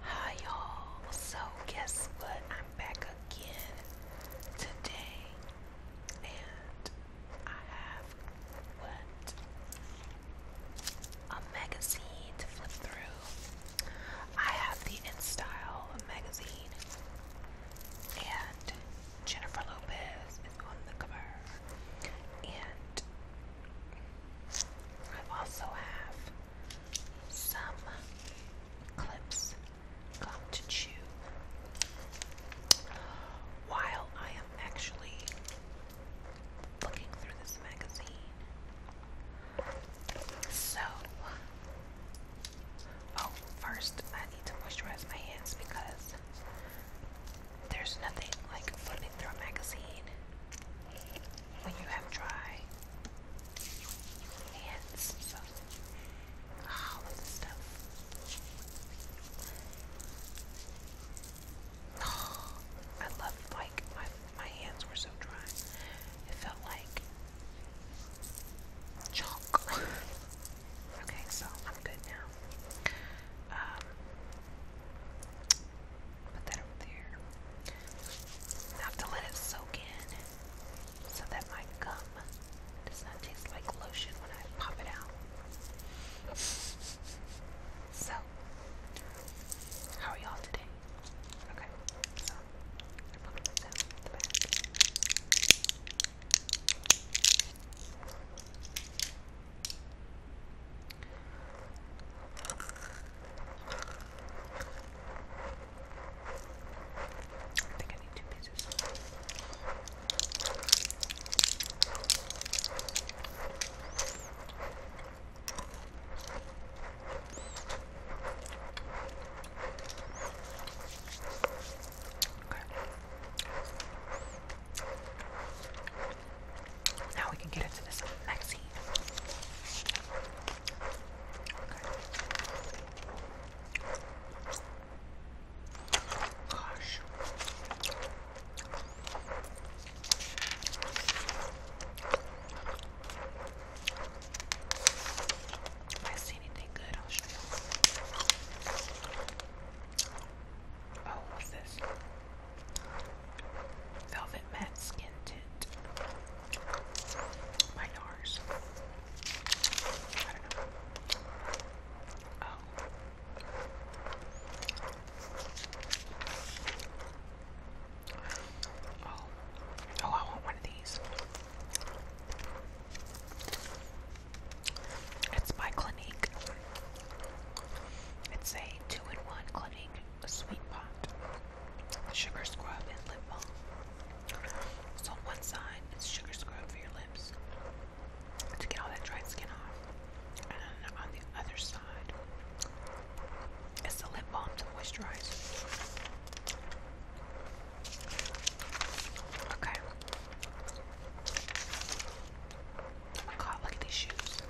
Hi y'all, so guess what? I'm back again today and I have what? A magazine to flip through. I have the InStyle magazine and Jennifer Lopez is on the cover. And I also have some clips, gum to chew. While I am actually looking through this magazine. So, oh, first I need to moisturize my hands because there's nothing like flipping through a magazine when you have dry hands, so ah, all of the stuff. Oh, I love like my my hands were so dry. It felt like chalk. okay, so I'm good now. Um, Put that over there. have to let it soak in so that my gum does not taste like lotion when I pop it out. So, how are y'all today? Okay, so I'm putting this out the back. I think I need two pieces. Okay. Now we can get into this next scene. Okay. Gosh. If I see anything good, I'll show you. Oh, what's this? Velvet Matte Skin Tint by NARS. Oh. oh. Oh, I want one of these. It's by Clinique. It's a two-in-one Clinique Sweet Pot, Sugar Scrub, and Lip Balm. So on one side, it's sugar scrub for your lips to get all that dried skin off. And on the other side, it's the lip balm to moisturize. Okay. god, look at these shoes.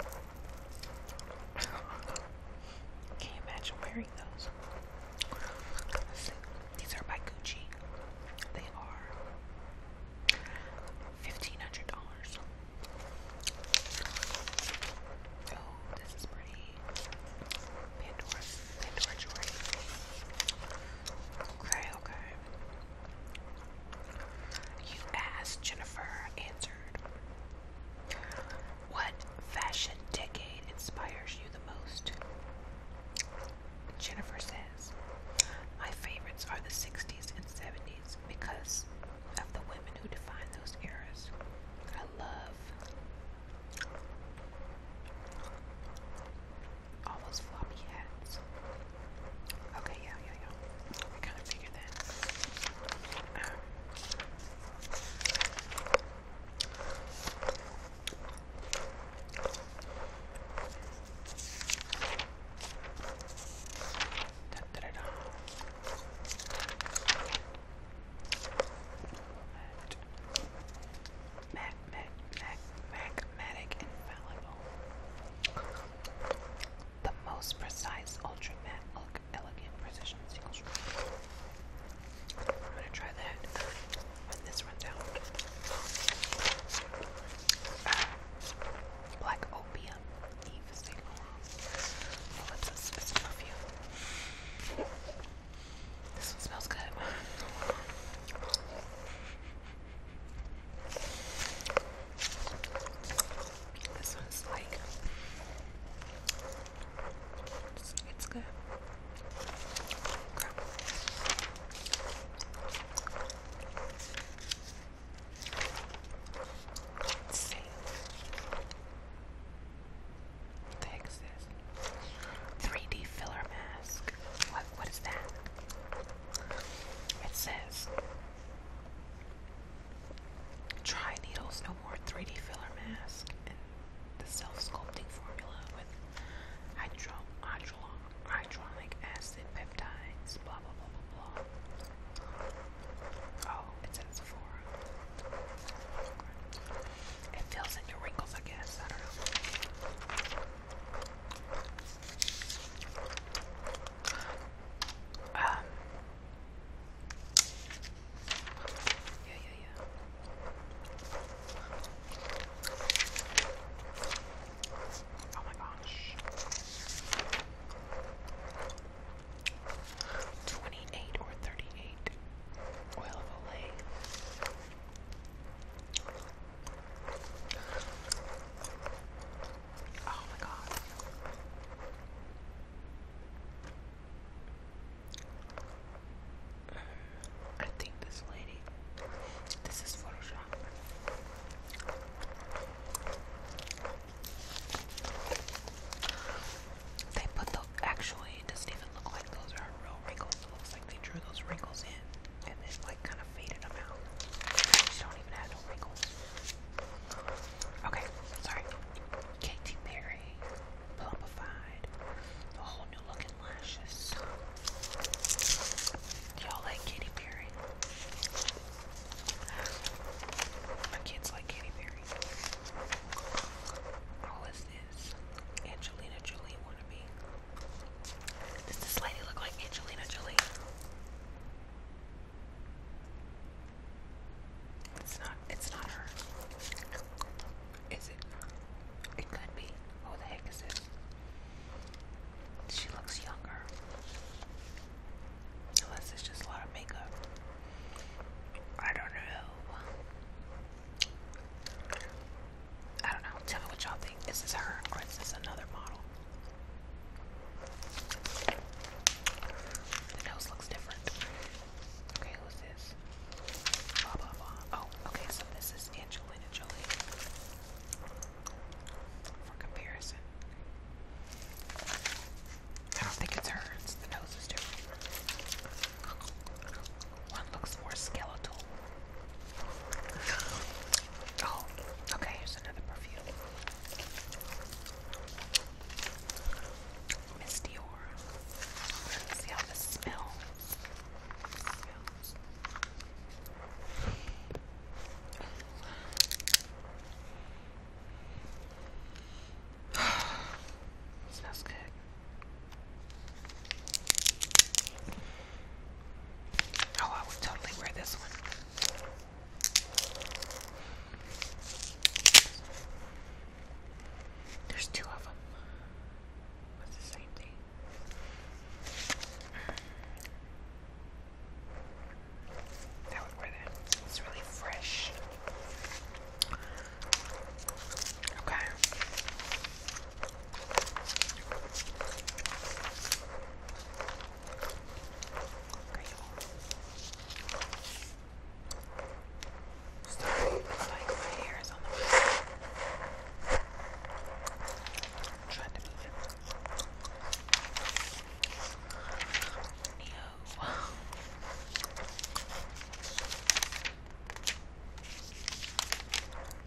Can not imagine wearing those? these are by Gucci. They are fifteen hundred dollars. Oh, this is pretty. Pandora, Pandora jewelry. Okay, okay. You asked, Jennifer answered. What fashion decade inspires you the most? Jennifer says, My favorites are the 60s and 70s because of the women who define those eras. I love all those floppy hats. Okay, yeah, yeah, yeah. I kind of figured that. Um, da, da, da, da. Mac, Mac, Mac, Infallible the most precise, ultra matte, elegant precision single stroke. I'm gonna try that when this runs out. Uh, black Opium Eve Saint Laurent Ellipsis is a perfume. This one smells good. This one's like it's, good. Let's see. What 3D filler mask. What what is that? It says Try Needles No More 3D Filler Mask and the self-sculpting formula with hydro, hydro, hydronic acid peptides, blah, blah, blah, blah, blah. Oh, it's at Sephora. It fills in your wrinkles, I guess. I don't know. Um, yeah, yeah, yeah. Oh my gosh. 28 or 38 oil of Olay. Oh my god. I think this lady, this is Photoshop. They put the, actually, it doesn't even look like those are real wrinkles. It looks like they drew those wrinkles in and then, like, kind kind of not even have no wrinkles. Okay, sorry. Katy Perry, Plumbified, the whole new looking lashes. Y'all like Katy Perry? My kids like Katy Perry. Who is this? Angelina Jolie wannabe. Does this lady look like Angelina Jolie? It's not. It's not her. Is it? It could be. Who the heck is it? She looks younger. Unless it's just a lot of makeup. I don't know. I don't know. Tell me what y'all think. Is this her or is this another model? The nose looks different. Okay, who's this? Oh, okay, so this is Angelina Jolie. For comparison. I don't think it's her, the nose is different. One looks more skeletal. Oh, okay, here's another perfume. Miss Let's see how this smells. smells good. Oh, I would totally wear this one. There's two of them. That's the same thing. I would wear that. It's really fresh. Okay. Sorry, it's like my hair is on the floor. I'm trying to move it. Neo. Oh,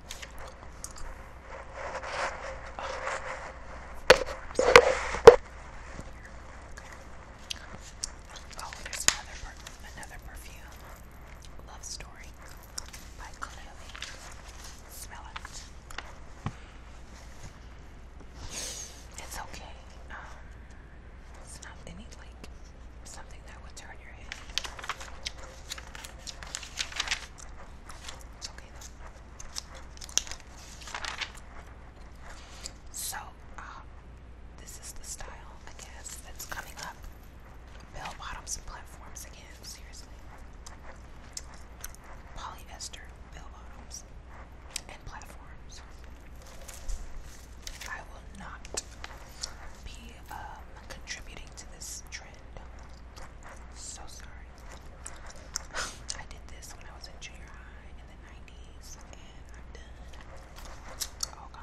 there's another another perfume. Love Story by Chloe. Smell it. It's okay. Um, it's not any like something that would turn your head. So, uh, this is the style, I guess, that's coming up. Bell bottoms and platforms again, seriously. Polyester bell bottoms and platforms. I will not be um, contributing to this so sorry. I did this when I was in junior high in the 90s, and I'm done. Oh, God.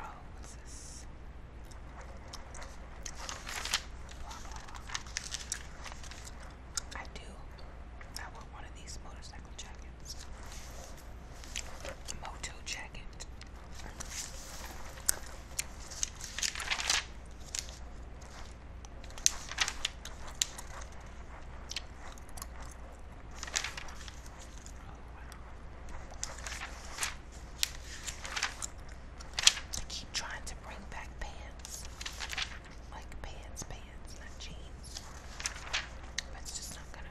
Oh, what's this? I do. I want one of these motorcycle jackets. Moto jacket. I keep trying to bring back pants. Like pants, pants, not jeans. But it's just not gonna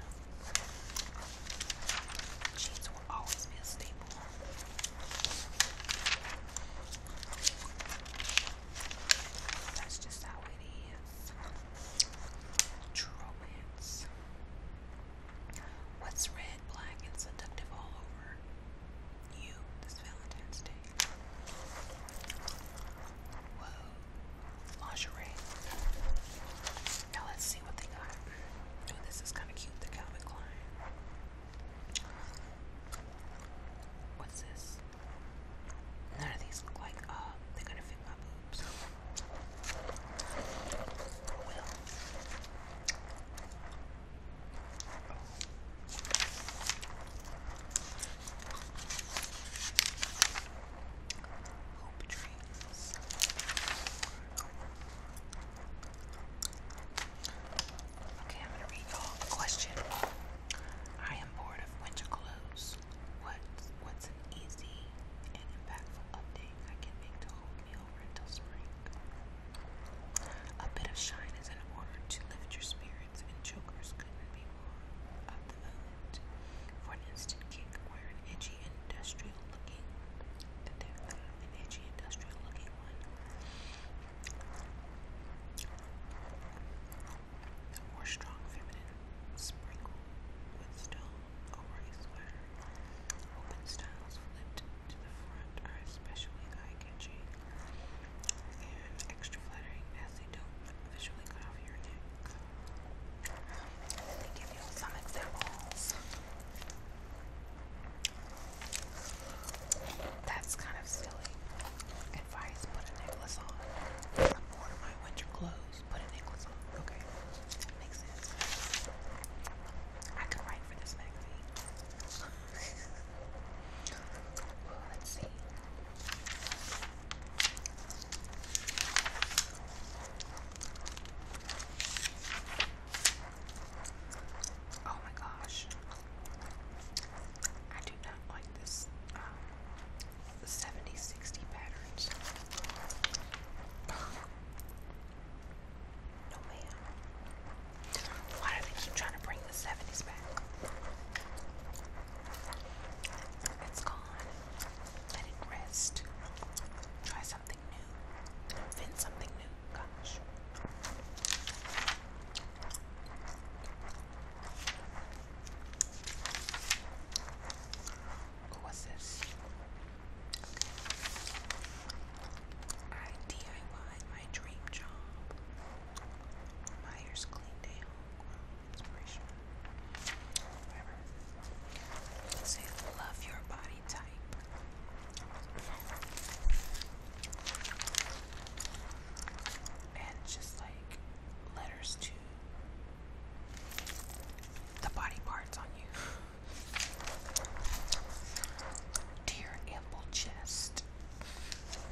Sheets will always be a staple. That's just how it is. romance. What's red, black, and seductive all over you this Valentine's Day? Whoa, lingerie. Now let's see what they got. Oh, this is kind of cute, the Calvin Klein. What's this? None of these look like uh, they're gonna fit my boobs. Oh Hope tree. Okay, I'm gonna read all a question. I am bored of winter clothes. What what's an easy and impactful update I can make to hold me over spring? A bit of shine is in order to lift your spirits and chokers couldn't be more of the silent for an instant kick where an edgy industrial looking an edgy industrial looking one the more strong feminine sprinkle with stone over a sweater. Open styles flipped to the front are especially eye-catching and extra flattering as they don't visually cut off your neck. That's kind of silly advice. Put a necklace on. I'm bored of my winter clothes. Put a necklace on. Okay, makes sense. I could write for this magazine. Let's see. Oh my gosh. I do not like this 70-60 um, pattern. No man. Why do they keep trying to bring the 70s back? It's gone. Let it rest. Try something new. Invent something new. Gosh. What this? I DIY my dream job. Myers clean down inspiration, whatever. Say love your body type. And just like letters to the body parts on you. To ample chest.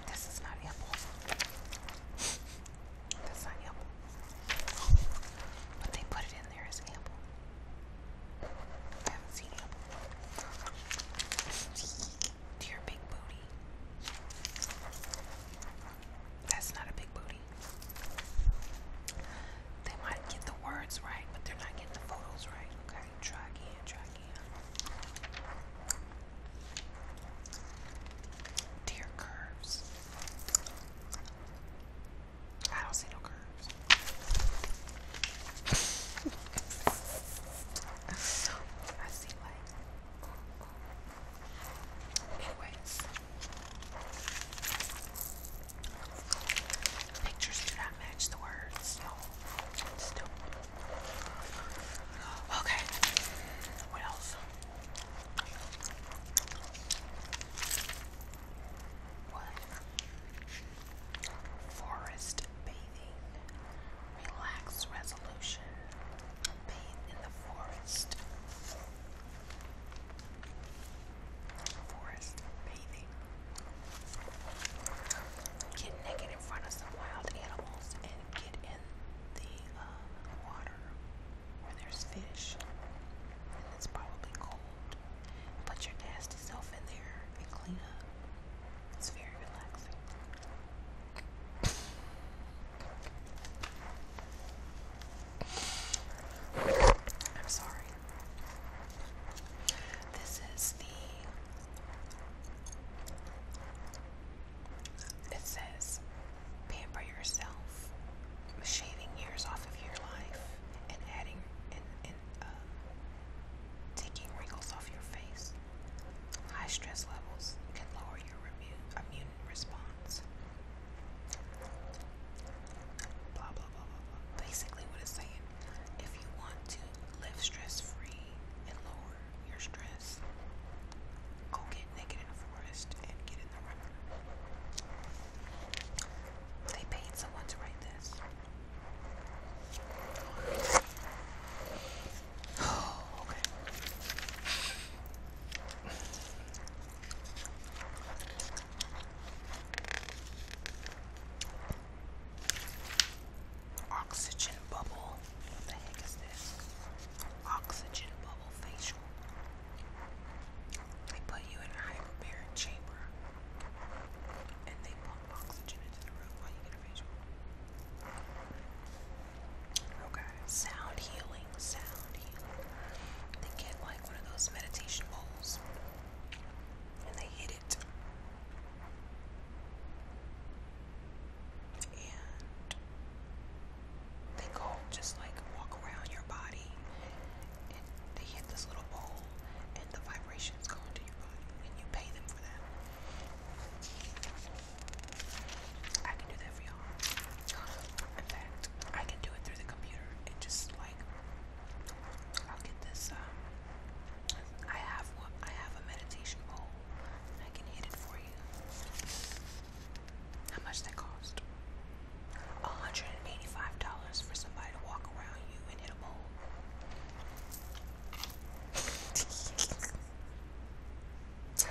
This is not ample. That's not ample. But they put it in there as ample. I haven't seen ample. To big booty. That's not a big booty. They might get the words right, but they're not getting the photos right. Okay, try again, try again. Dear curves. I don't see no curves. I see like anyways. Pictures do not match the words. Okay. What one. Forest bathing. Relax resolution. Bathe in the forest. Forest bathing. Get naked in front of some wild animals and get in the uh, water where there's fish and it's probably cold. Put your nasty self in there and clean up. It's very relaxing. I'm sorry. This is the it says, pamper yourself, shaving years off of your life, and adding and, and uh, taking wrinkles off your face. High stress levels can lower your immune response. blah, blah, blah. Basically, what it's saying if you want to live stress free and lower your stress, Go get naked in the forest and get in the river. They paid someone to write this. Oh, Oxygen bubble. What the heck is this? oxygen bubble facial. They put you in a hyperbaric chamber and they pump oxygen into the room while you get a facial. Okay, sound healing, sound healing. They get like one of those meditation bowls and they hit it and they go just like walk around your body and they hit this little bowl and the vibrations go into your body and you pay them for that. I can do that for y'all. In fact, I can do it through the computer and just like I'll get this um, I have I have a meditation bowl and I can hit it for you. How much that cost? $185 for somebody to walk around you and hit a bowl.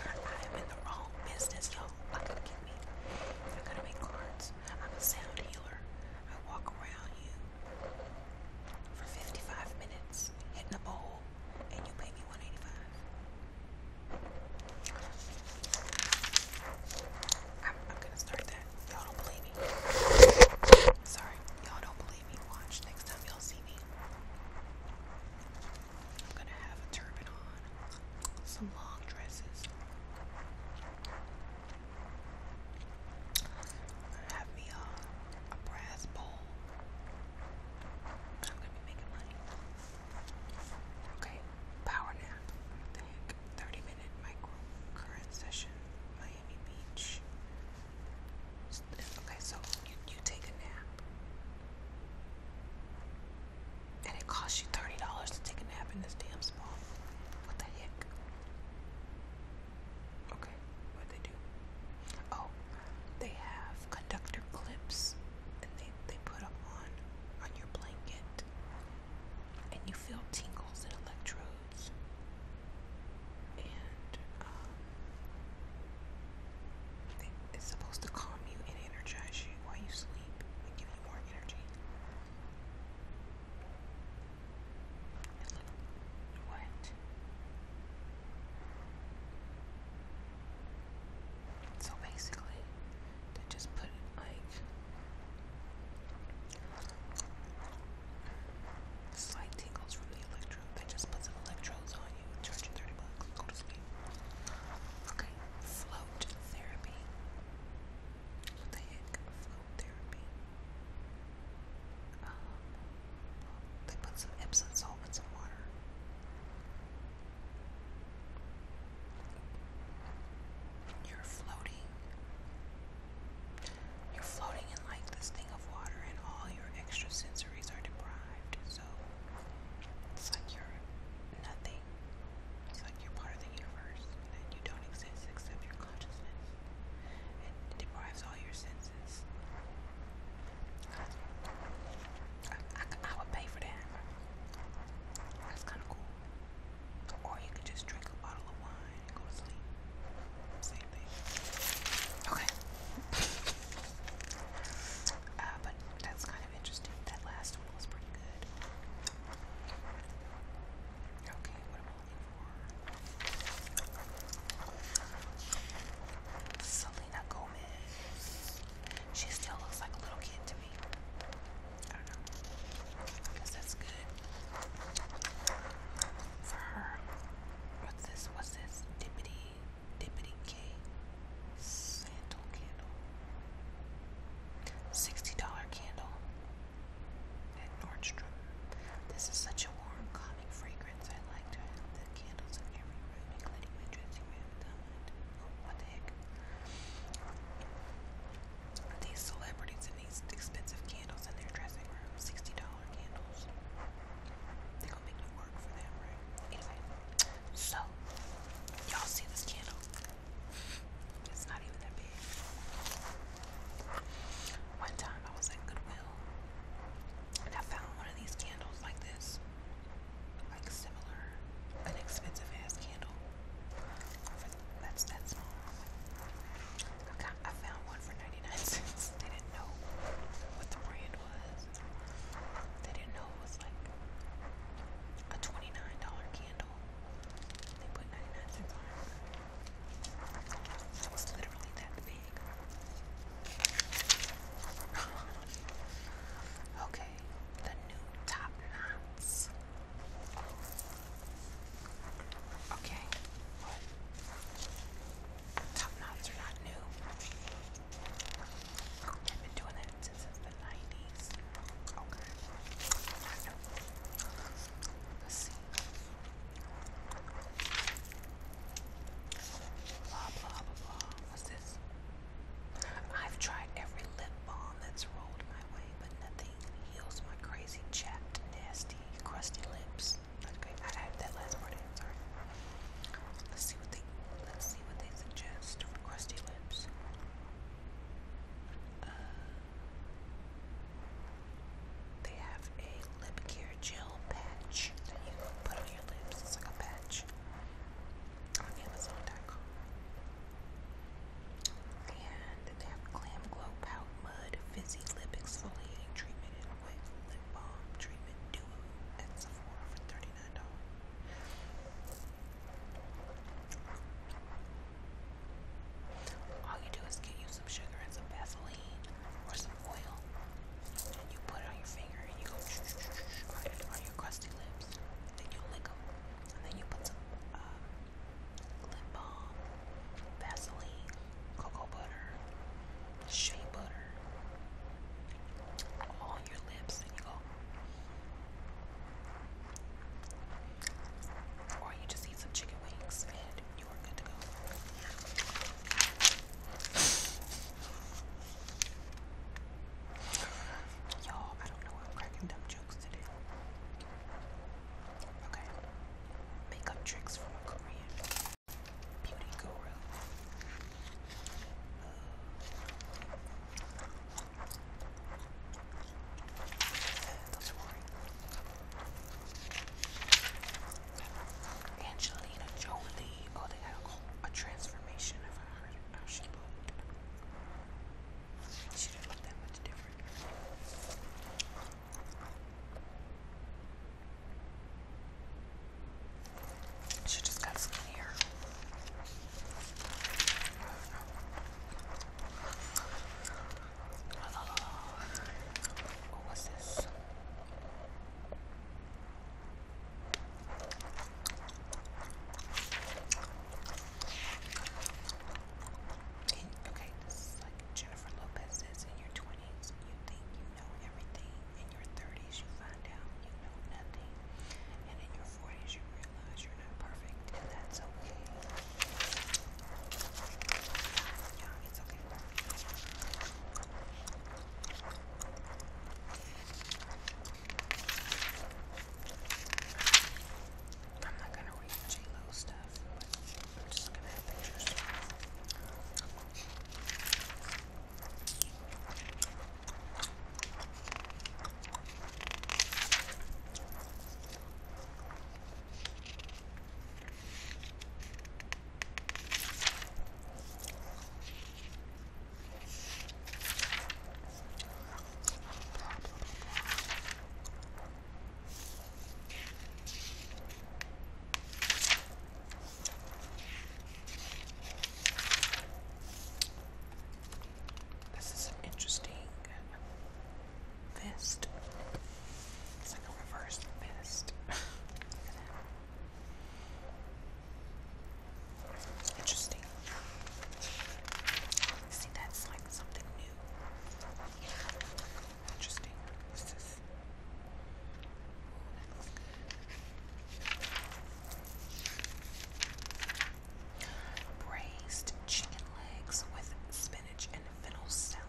I am in the wrong business, y'all. I could get me. I could make cards. I'm a sound healer. I walk around you for 55 minutes hitting a bowl, and you pay me 185. I'm, I'm gonna start that. Y'all don't believe me. Sorry, y'all don't believe me. Watch next time y'all see me. I'm gonna have a turban on, some long dresses. I'm gonna have me a, a brass bowl. I'm gonna be making money. Okay, power nap. the heck? 30 minute micro current session, Miami Beach. Okay, so you, you take a nap. And it costs you $30 to take a nap in this damn small. What the heck? Okay, what'd they do? Oh, they have conductor clips and they, they put them on on your blanket and you feel tingles and electrodes and um, it's supposed to calm you and energize you while you sleep and give you more energy. what? So basically, they just put it like slight tingles from the electrode. They just put some electrodes on you, charge you 30 bucks, go to sleep. Okay, float therapy. What the heck? Float therapy. Um, they put some Epsom salt in some water. You're floating. You're floating in like this thing of water, and all your extra sensories are deprived. So it's like you're nothing. It's like you're part of the universe, and you don't exist except your consciousness. It deprives all your senses. I, would pay for that. That's kind of cool. Or you could just drink a bottle of wine and go to sleep. Same thing. Okay. Uh, but that's kind of interesting. That last one was pretty good. Okay, what am I looking for? Selena Gomez. She still looks like a little kid to me. I don't know. that's good for her. What's this? What's this? Dippity, dippity K sandal candle. $60 candle at Nordstrom. This is such a warm, calming fragrance. I like the candles in every these celebrities and these expensive candles in their dressing room, $60 candles. They're gonna make you work for them, right? Anyway, so, y'all see this candle? It's not even that big. One time I was at Goodwill I found one of these candles like this, like similar, an ass candle. That's that small. I, found one for 99 cents. They didn't know what the brand was. They didn't know it was like a 29 candle. They put 99 cents on it. It was literally that big okay, the new top knots. Okay, Top knots are not new. I've been doing that since the 90s. Let's see. Blah, blah, blah, What's this? I've tried every lip balm that's rolled my way, but nothing heals my crazy, chapped, nasty, crusty lips. Okay, I had that last part in. Sorry. Let's see what they. Let's see what they suggest for crusty lips. Uh, they have a lip care gel patch that you can put on your lips. It's like a patch on Amazon.com. And they have Glam Glow Pout Mud Fizzy Lip Exfoliating Treatment and Wet Lip Balm Treatment Duo at Sephora for $39. All you do is get you some sugar and some Vaseline or some oil, and you put it on your finger and you go shh, shh, shh, shh, on, your, on your crusty lips. Then you lick them, and then you put some um, lip balm, Vaseline, cocoa butter, shea butter all on your lips, and you go. Or you just eat some chicken wings and you I don't know why I'm cracking dumb jokes today. Okay. Makeup tricks from a Korean beauty guru. Uh, that's boring. Angelina Jolie. Oh, they got a, a transformation of her, how she looked. She didn't look that much different. She just got skinnier. Oh, what's this? Okay, this is like Jennifer Lopez says in your 20s, you think you know everything. In your 30s, you find out you know nothing. And in your 40s, you realize you're not perfect, and that's okay. Yeah, it's okay. I'm not gonna read J Lo stuff, but I'm just gonna have pictures. This is an interesting vest. It's like a reverse mist. interesting. See, that's like something new. Interesting. What's this? Braised chicken legs with spinach and fennel salad.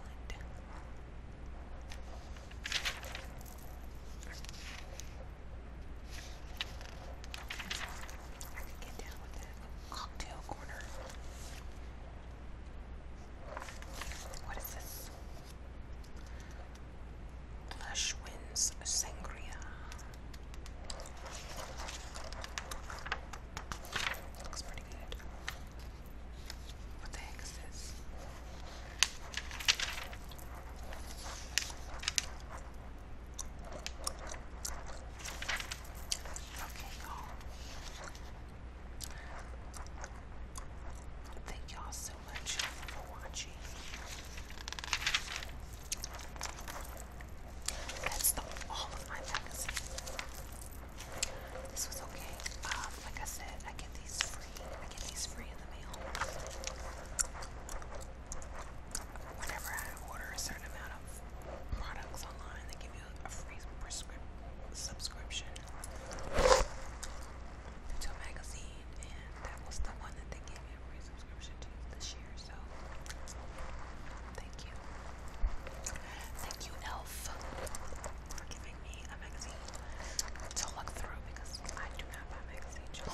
I could get down with that cocktail corner. What is this? Lush Winds Sangria. Looks pretty good. What the heck is this? Okay, y'all. Thank y'all so much for watching. That's the all of my magazine. This was okay. Um, like I said, I get these free. I get these free in the mail. Whenever I order a certain amount of products online, they give you a free prescription subscription magazine, and that was the one that they gave me a free subscription to this year. So, thank you, thank you, Elf, for giving a magazine to look through because I do not buy magazines.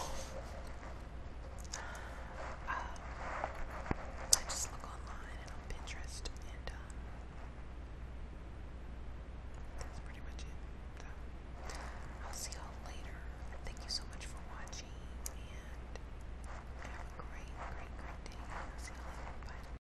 Um, I just look online and on Pinterest, and uh, that's pretty much it. I'll see y'all later. Thank you so much for watching, and have a great, great, great day. see y'all later. Bye.